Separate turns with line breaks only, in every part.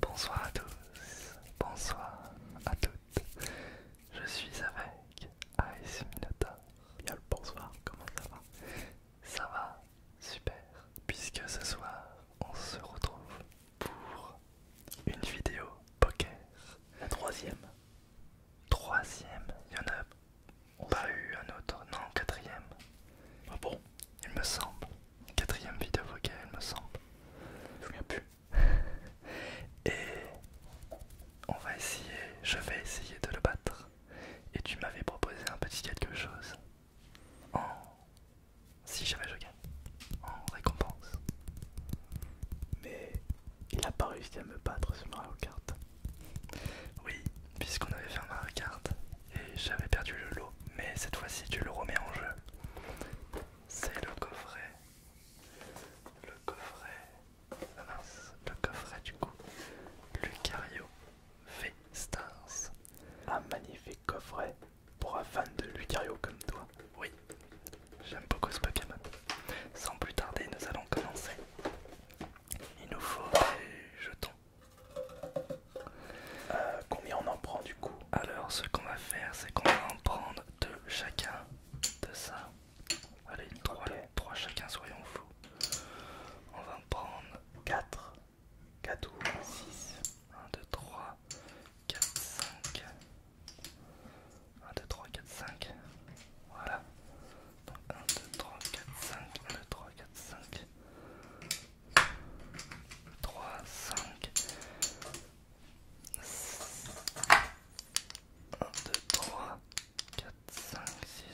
Bonsoir à tous, bonsoir à toutes. Je suis avec ASMinata. Y'a le bonsoir, comment ça va ça va Super Puisque ce soir, on se retrouve pour une vidéo poker. La troisième Troisième Il y en a on pas eu un autre. Non, quatrième. Ah bon Il me semble. Quatrième vidéo poker, il me semble. Je plus. Et on va essayer, je vais essayer de le battre et tu m'avais proposé un petit quelque chose en si j'avais je gagne en récompense mais il n'a pas réussi à me battre sur Mario Kart oui puisqu'on avait fait un Mario Kart et j'avais perdu le lot mais cette fois-ci tu le remets en jeu c'est le coffret le coffret ah mince, le coffret du coup Lucario Stars. Un magnifique coffret pour un fan de Lucario comme toi. Oui, j'aime beaucoup ce Pokémon. Sans plus tarder, nous allons commencer. Il nous faut des jetons. Euh, combien on en prend du coup Alors, ce qu'on va faire, c'est qu'on va en prendre deux chacun de ça. Allez, trois, chacun, soyons fous. On va en prendre 4. 4 6. 1, 2, 3, 4, 5. 1, 2, 3, 4, 5. Voilà. 1, 2, 3, 4, 5. 1, 2, 3, 4, 5. 5. 1, 2, 3, 4, 5, 6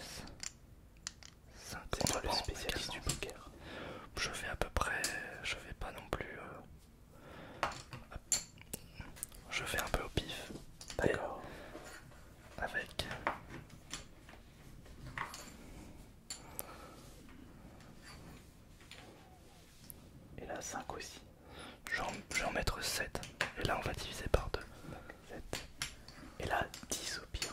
contre le spécialiste du poker. Je vais à peu près, je vais pas non plus, euh, je vais un peu au pif. D'accord. Avec. Et là 5 aussi. Je vais en mettre 7. Et là on va diviser par 2. 7. Et là 10 au pire.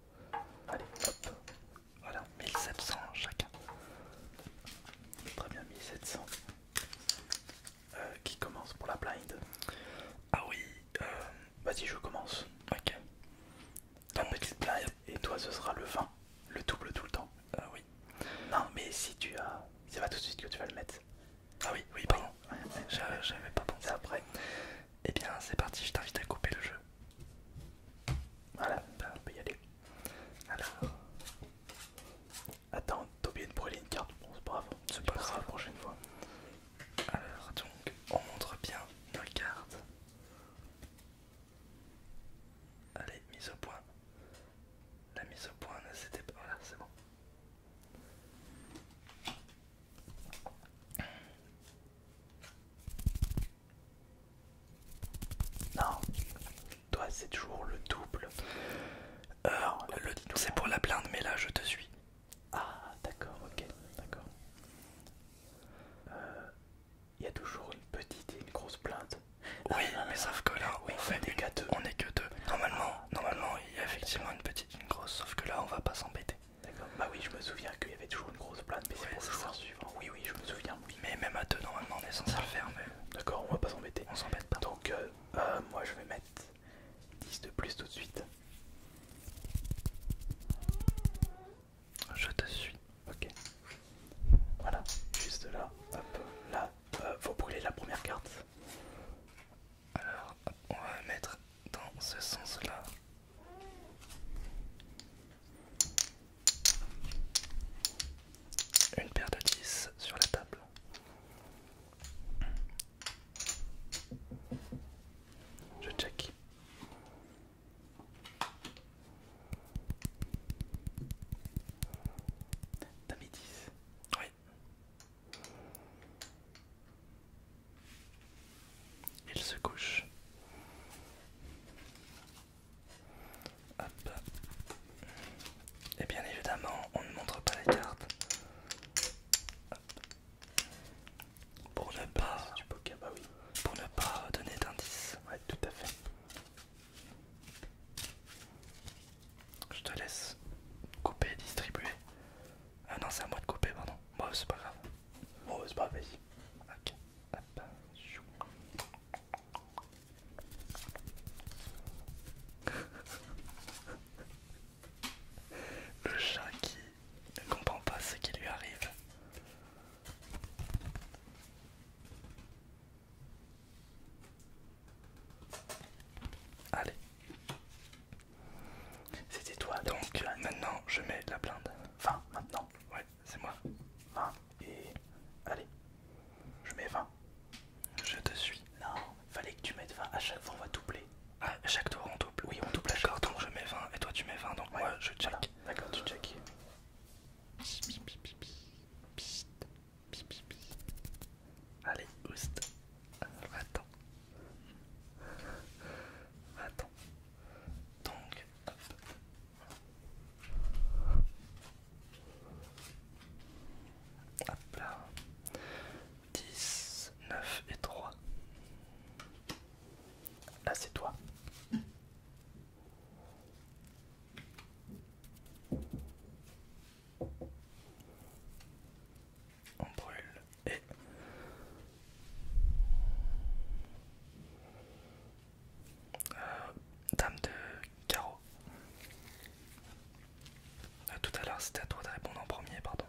Allez, hop. Voilà, 1700 chacun. Très bien, 1700. Euh, qui commence pour la blind Ah oui, euh, vas-y, je commence. Ok. petite blind, et toi ce sera le 20, le double tout le temps. Ah oui. Non, mais si tu as. C'est pas tout de suite que tu vas le mettre. Ah oui, oui, pardon. J'avais pas pensé. après. Et eh bien, c'est parti, je t'invite à couper le jeu. Voilà, bah, on peut y aller. Alors. Attends, t'as oublié de brûler une carte. Bon, c'est pas grave, c'est pas grave la prochaine fois. Alors, donc, on montre bien nos cartes. Allez, mise au point. La mise au point c'était pas. Voilà, c'est bon. Non, toi c'est toujours le double. Heure, le, c'est pour la plainte, mais là je te suis. Ah, d'accord, ok, d'accord. Il euh, y a toujours une petite et une grosse plainte. Oui, ah, mais ah, sauf que là, ah, oui, on, fait des gâteaux, on est que deux. Normalement, normalement, il y a effectivement une petite et une grosse, sauf que là, on va pas s'embêter. D'accord. Bah oui, je me souviens qu'il y avait toujours une grosse plate mais c'est pour le joueur suivant. Oui, oui, je me souviens. Oui. Mais même à normalement, on est censé le faire. D'accord, on va pas s'embêter. On s'embête pas. Donc, euh, euh moi, je vais mettre 10 de plus tout de suite. Je te suis. Ok. Voilà, juste là. Hop, là. Euh, faut brûler la première carte. Alors, on va mettre dans ce sens-là. Une paire de 10 sur la table. Je check. T'as mis 10 Oui. Il se couche. Et bien évidemment, on ne montre pas les cartes. Pour ne pas bah Pour ne pas donner d'indices. tout à fait. Je te laisse couper, distribuer. Ah non, c'est à moi de couper, pardon. Bon, c'est pas grave. Bon, c'est pas Le chat qui ne comprend pas ce qui lui arrive. Allez. C'était toi donc. Maintenant je mets la blinde. 20 maintenant. Ouais, c'est moi. 20 et. Allez, je mets 20. Je te suis. Non, fallait que tu mettes 20. À chaque fois, on va doubler. Ah, à chaque tour, on double. Oui, on double à chaque tour. je mets 20 et toi, tu mets 20. Donc, moi, je check. D'accord, tu check. Allez, oust. Attends. Attends. Donc, hop. là. 10, 9 et 3. Là, c'est toi. On brûle et euh, dame de carreau. tout à l'heure, c'était à toi de répondre en premier, pardon.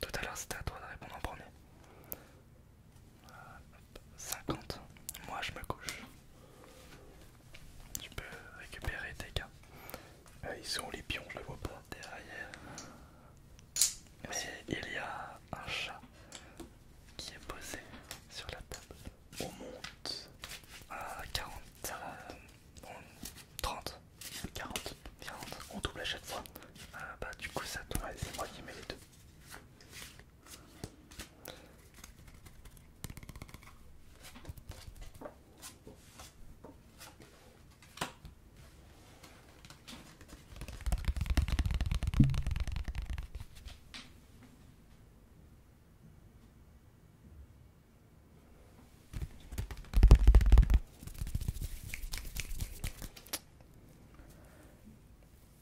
Tout à l'heure, c'était à toi de répondre en premier. 50. Euh, Moi, je me couche. Tu peux récupérer tes gars. Euh, ils sont les pions, je le vois pas derrière. Mais il y a un chat qui est posé sur la table. On monte à 40, 30, 40, 40. On double à chaque fois. Euh, bah, du coup, ça doit c'est moi qui mets les deux.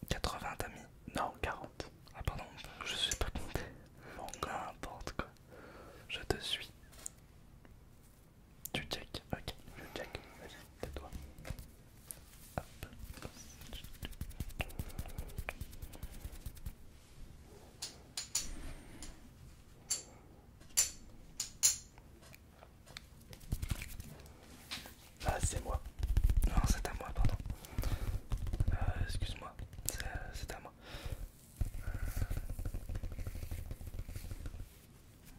80 amis Non, 40. Ah pardon, je sais pas compter. Bon, n'importe quoi. Je te suis. Tu check, ok, je check, vas-y, tais-toi. Ah, c'est moi. Non, c'est à moi, pardon. Euh, excuse-moi, euh, c'est à moi. Euh, Cinquante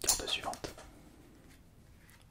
carte suivante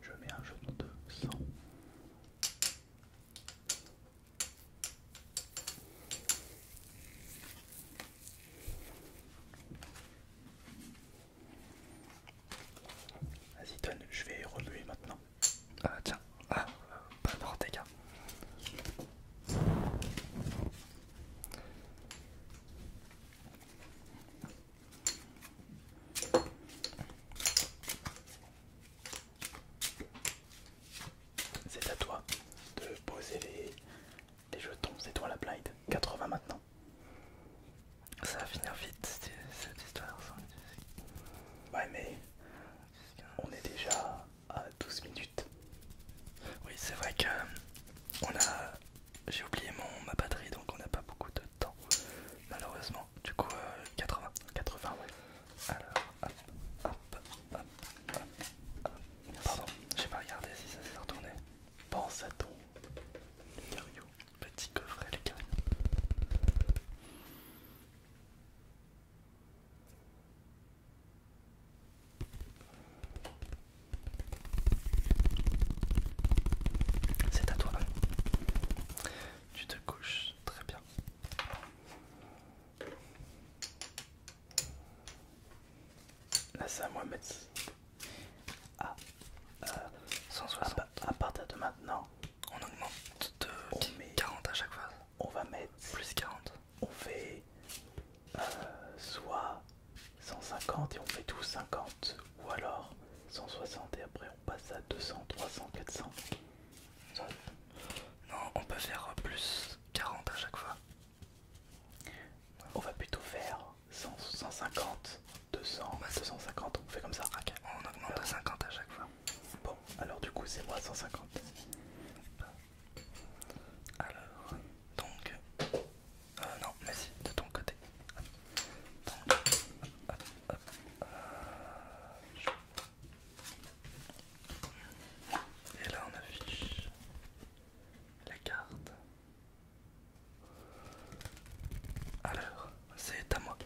Je mets un jaune de sang. Vas-y donne, je vais remuer maintenant. Ah tiens, ah, pas de mort dégâts. C'est à toi de poser les, jetons, c'est toi la blind, 80 maintenant. Ça va finir vite cette histoire. Ouais mais on est déjà à 12 minutes. Oui c'est vrai que euh, on a j'ai oublié mon, ma batterie donc on n'a pas beaucoup de temps malheureusement du coup 80 euh, 80 ouais alors hop hop hop hop, pardon j'ai pas regardé si ça s'est retourné pense à ton petit coffret Lucario c'est à toi. Tu te couches très bien. Là, c'est à moi, de mettre à 160. Euh, à, partir de maintenant, on augmente de 40 à chaque fois. On va mettre plus 40. On fait euh, soit 150 et on fait tout 50 ou alors 160 et après on passe à 200, 300, 400. Non, on peut faire plus 40 à chaque fois. On va plutôt faire 150, 200, 250, on fait comme ça. On augmente 50 à chaque fois. Bon, alors du coup c'est moi 150. Bah. Alors, donc, euh, non, mais si, de ton côté. Et là, on affiche la carte. Alors, c'est à moi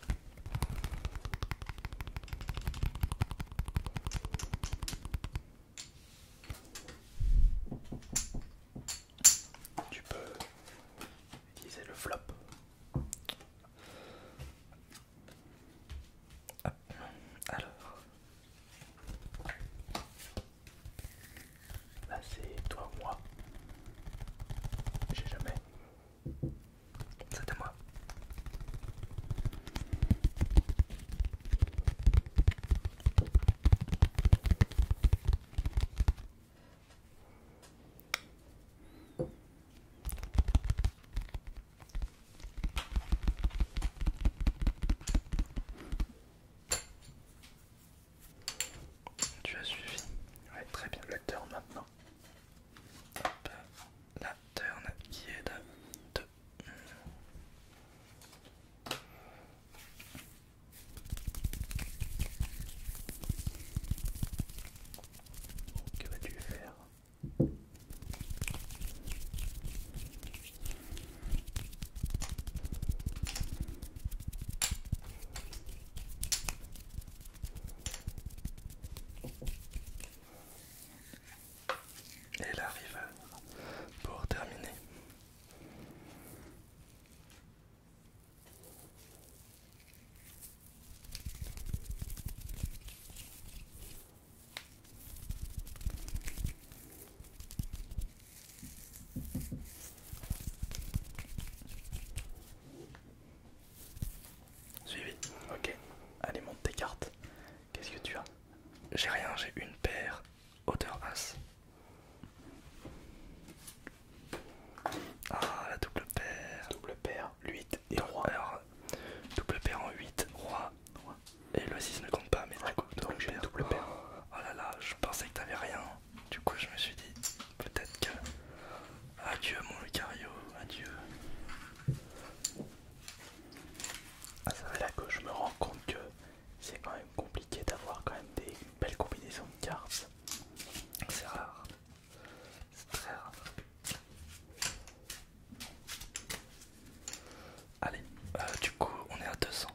tu peux utiliser le flop. Alors, là c'est toi moi. J'ai jamais. C'était moi. Tu as suivi Ouais, très bien. La turn maintenant. Hop, la turn qui est de 2. Que vas-tu faire et elle arrive pour terminer. Suivi, ok. Allez, monte tes cartes. Qu'est-ce que tu as J'ai rien, j'ai une paire hauteur As. Ah, la double paire. Double paire, 8 et roi. double paire en 8, roi. Et le 6 ne compte pas, mais du coup, double donc double paire. Oh là là, je pensais que t'avais rien. Du coup, je me suis dit, peut-être que. Adieu, mon Lucario, adieu. à ah, ça va là je me rends compte que c'est quand même compliqué d'avoir quand même des belles combinaisons de cartes. C'est rare. C'est très rare. Allez, euh, du coup on est à 200.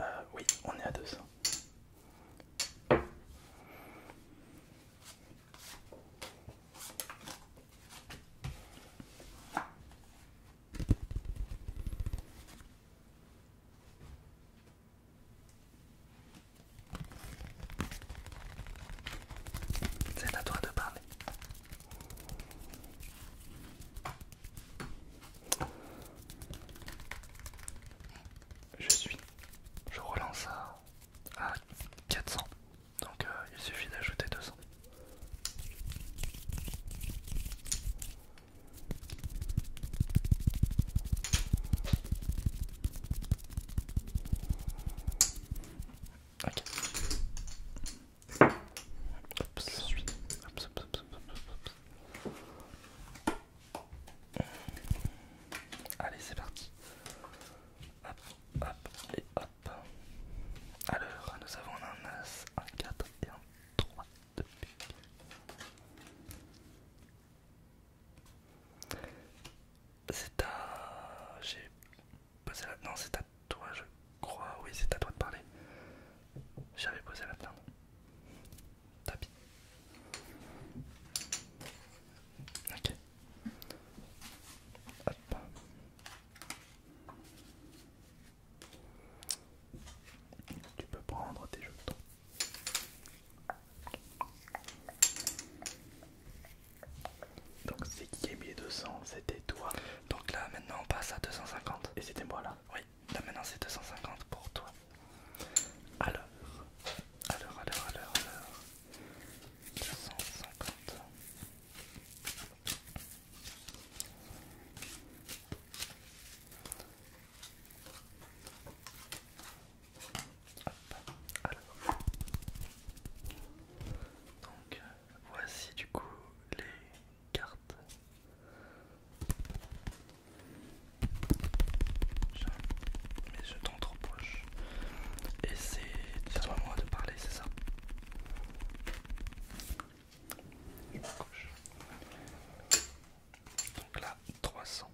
Euh, oui, on est à 200. C'est à toi de parler. Je suis. Je relance à, à 400. Donc euh, il suffit d'ajouter 200. Ok. Oups. Oups, oups, Allez, c'est parti. Hop, hop et hop. Alors, nous avons un As, un 4 et un 3 de C'est à. J'ai posé la. Non, c'est à toi, je crois. Oui, c'est à toi de parler. J'avais posé la dedans Tapis. Ok. Tu peux prendre tes jetons. Donc c'est qui qui a mis 200 C'était toi. Donc là maintenant on passe à 250. Et c'était moi là Oui, là maintenant c'est 250 pour toi. Alors, alors, alors, alors, alors. 250. Donc voici du coup les cartes. je t'en trop proches. Et c'est à moi de parler, c'est ça donc là, 300.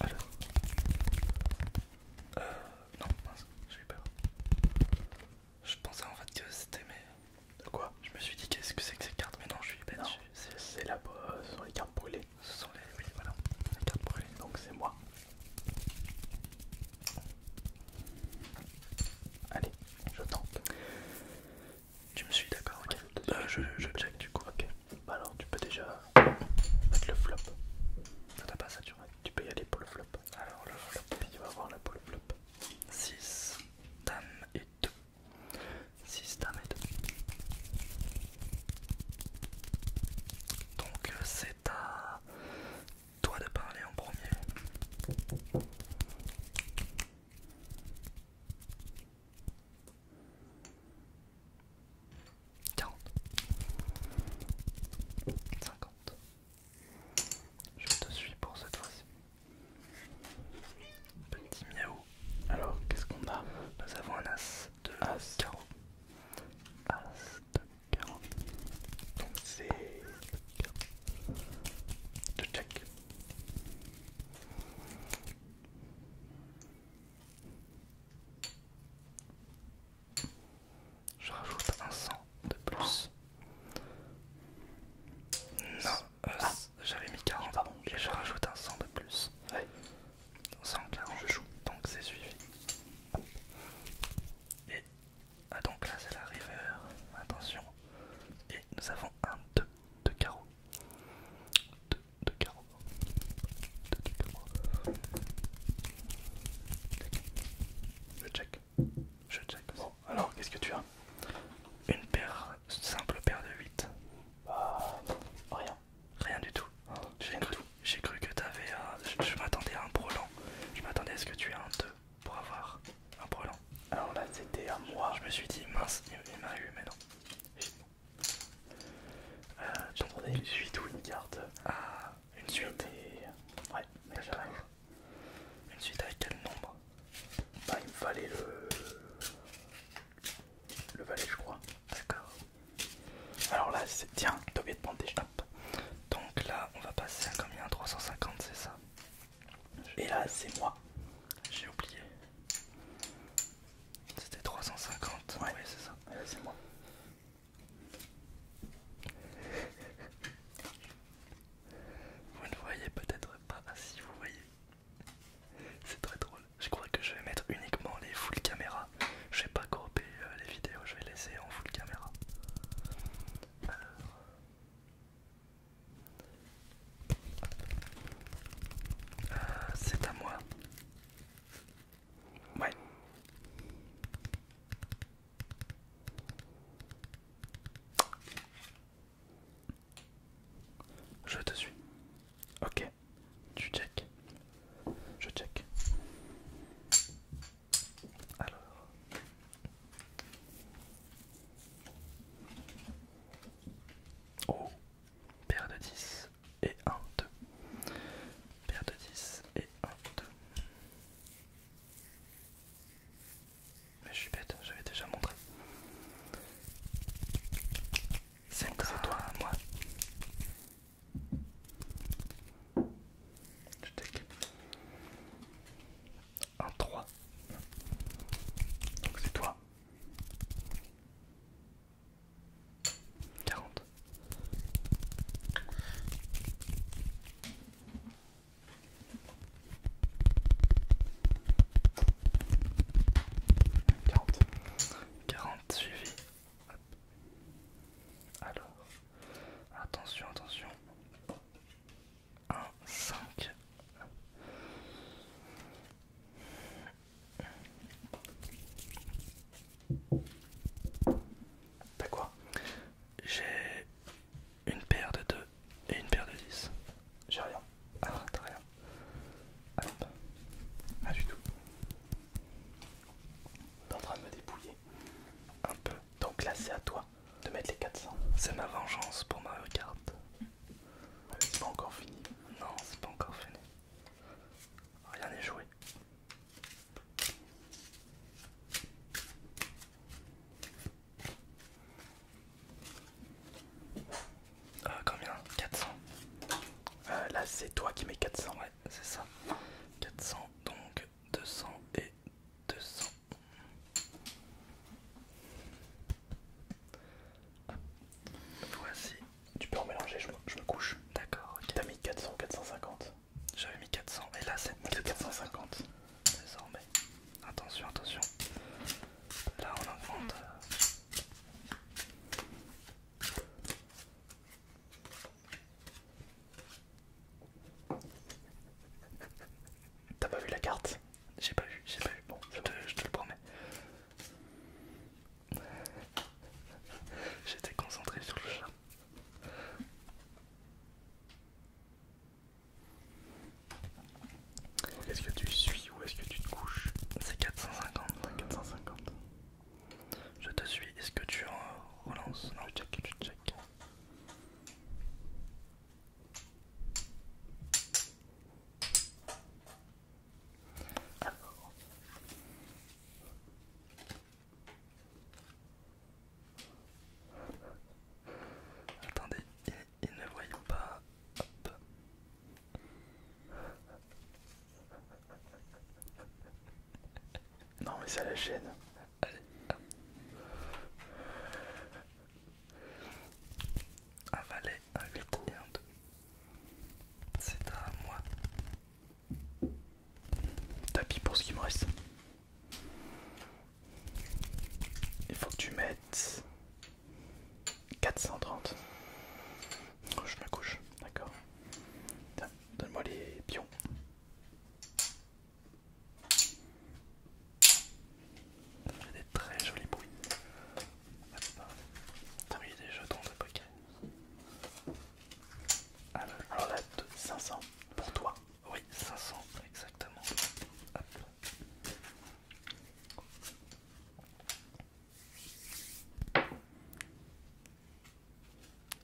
Alors. Euh, non, mince, j'ai peur. Je pensais en fait que c'était mais. Quoi Je me suis dit qu'est-ce que c'est que ces cartes Mais non, je suis bête. C'est la ce sont les cartes brûlées. Ce sont les. Oui, voilà, les cartes brûlées. Donc c'est moi. Allez, je tente. Tu me suis d'accord, ok. Euh, je, je check du coup. Ok. Bah alors tu peux déjà mettre le flop. Ça t'a pas saturé. Tu peux y aller pour le flop. Alors le flop, il va avoir la le flop. 6, dame et 2. 6, dame et 2. Donc euh, c'est à toi de parler en premier. 40. 50. Je te suis pour cette fois-ci. Petit miaou. Alors, qu'est-ce qu'on a Nous avons un as de as. carreau. As de carreau. Donc c'est... de check. Je rajoute un 100 de plus. Non, euh, ah. j'avais mis 40. Pardon, et je rajoute un 100 de plus. Ouais. 140, je joue. Donc c'est suivi. Et. Ah, donc là c'est la river. Attention. Et nous avons un 2 de carreau. 2 de carreau. 2 de carreau. check. Je check. Bon, alors qu'est-ce que tu as Une paire, simple paire de 8. Bah, rien. Rien du tout. Ah, j'ai cru, que t'avais un. Je, m'attendais à un brelan. Je m'attendais à ce que tu aies un 2 pour avoir un brelan. Alors là, c'était à moi. Je me suis dit, mince, il, m'a eu, mais non. Tu une 8 ou une carte. Ah, une suite et... Ouais, bah, Une suite avec quel nombre Bah il me le... Le valet je crois. D'accord. Alors là c'est... Tiens, t'as oublié de des Donc là on va passer à combien 350 c'est ça Et là c'est moi. J'ai oublié. C'était 350. Ouais, c'est ça. Et là, c'est moi. Vous ne voyez peut-être pas, si vous voyez. C'est très drôle. Je crois que je vais mettre uniquement les full caméra. Je vais pas grouper euh, les vidéos, je vais laisser en full caméra. Euh, c'est à moi. Ouais. Je te suis. Ok. Tu check. Je check. Alors. Oh. Paire de 10 et 1, 2. Paire de 10 et 1, 2. Mais je suis bête, hein, j'avais déjà montré. C'est toi, moi. Je t'équipe. 1, 3. Donc c'est toi. 40. 40. 40 suivi. Alors, attention, attention. 1, 5. T'as quoi j'ai une paire de 2 et une paire de 10. J'ai rien. Ah, t'as rien. Ah pas du tout. T'es en train de me dépouiller. Un peu. Donc là, c'est à toi de mettre les 400. C'est ma vengeance pour ma carte. C'est pas encore fini. Non, c'est pas encore fini. Rien n'est joué. Euh, combien 400 euh, Là c'est toi qui mets 400. Ouais, c'est ça. 400 donc 200 et 200. Voici. Tu peux en mélanger, je me, couche. D'accord. Qui T'as mis 400, 450. J'avais mis 400 et là c'est 1450 Désormais. Attention, attention. Là on augmente. T'as pas vu la carte J'ai pas vu, j'ai pas vu. Bon, je te le promets. J'étais concentré sur le chat est-ce que tu suis ou est-ce que tu te couches C'est 450. 450. Je te suis. Est-ce que tu relances Non, je check, tu check. Attendez, ils, ne voyons pas. Hop. Non mais à la chaîne. Allez. Un valet, un 8 C'est à moi. Tapis pour ce qui me reste. Il faut que tu mettes 430. je me couche, d'accord. Donne-moi les pions. Ça des très jolis bruits. T'as mis des jetons de poker. Alors, alors là, 500 pour toi. Oui, 500 exactement.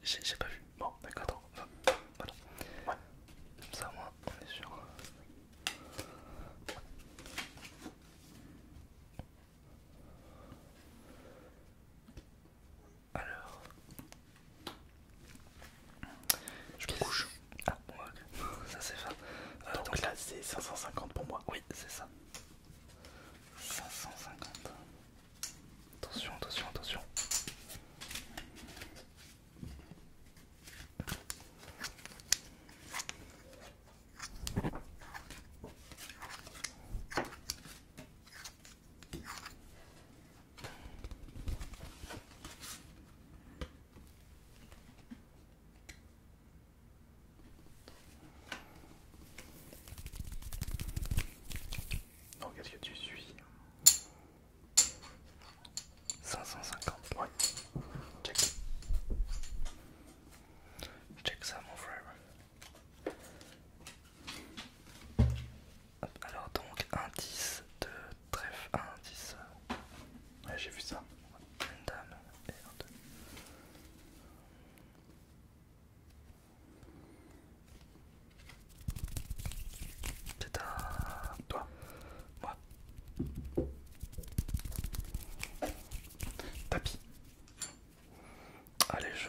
J'ai pas vu. Bon, d'accord, Voilà. Comme ça, on est sûr. Alors. Je me couche. Ah, bon, ça c'est fin. Euh, là, c'est 550 pour moi. Oui, c'est ça. 550. Attention, attention, attention. Donc qu'est-ce que tu suis 550, points Check. Check ça mon frère. Alors donc indice de trèfle, un indice, j'ai vu ça, une dame et un deux. C'est toi, moi. Tapis. Allez, je...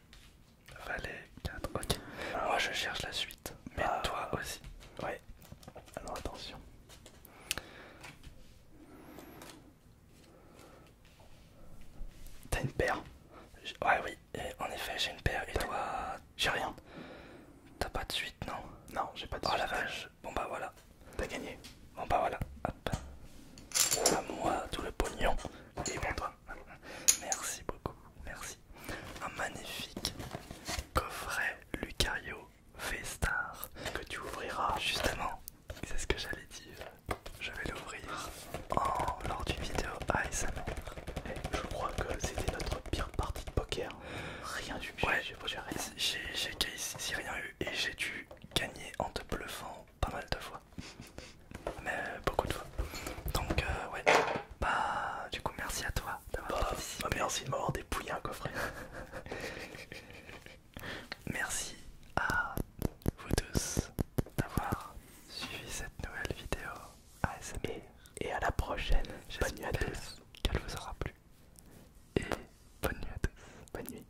Valet 4, ok. Moi je cherche la suite, mais ah. toi aussi. Ouais. Alors attention. T'as une paire Ouais oui, et en effet j'ai une paire et toi... J'ai rien. T'as pas de suite non Non, j'ai pas de ah, suite. Oh la vache, bon bah voilà. T'as gagné. Bon bah voilà, hop. À moi tout le pognon. Et bon toi. Merci beaucoup. Merci. Un magnifique coffret Lucario v que tu ouvriras justement. C'est ce que j'allais dire. Je vais l'ouvrir lors d'une vidéo ASMR. Et je crois que c'était notre pire partie de poker. Rien du tout. Ouais, j'ai quasi si rien eu et j'ai dû gagner en te bluffant pas mal de fois. Mais beaucoup de fois. Donc euh, ouais. Bah du coup merci à toi d'avoir bah, participé. Bah, merci de dépouillé un hein, coffret. merci à vous tous d'avoir suivi cette nouvelle vidéo ASMR. Et, à la prochaine. Bonne nuit à tous. Qu'elle vous aura plu. Et bonne nuit à tous. Bonne nuit.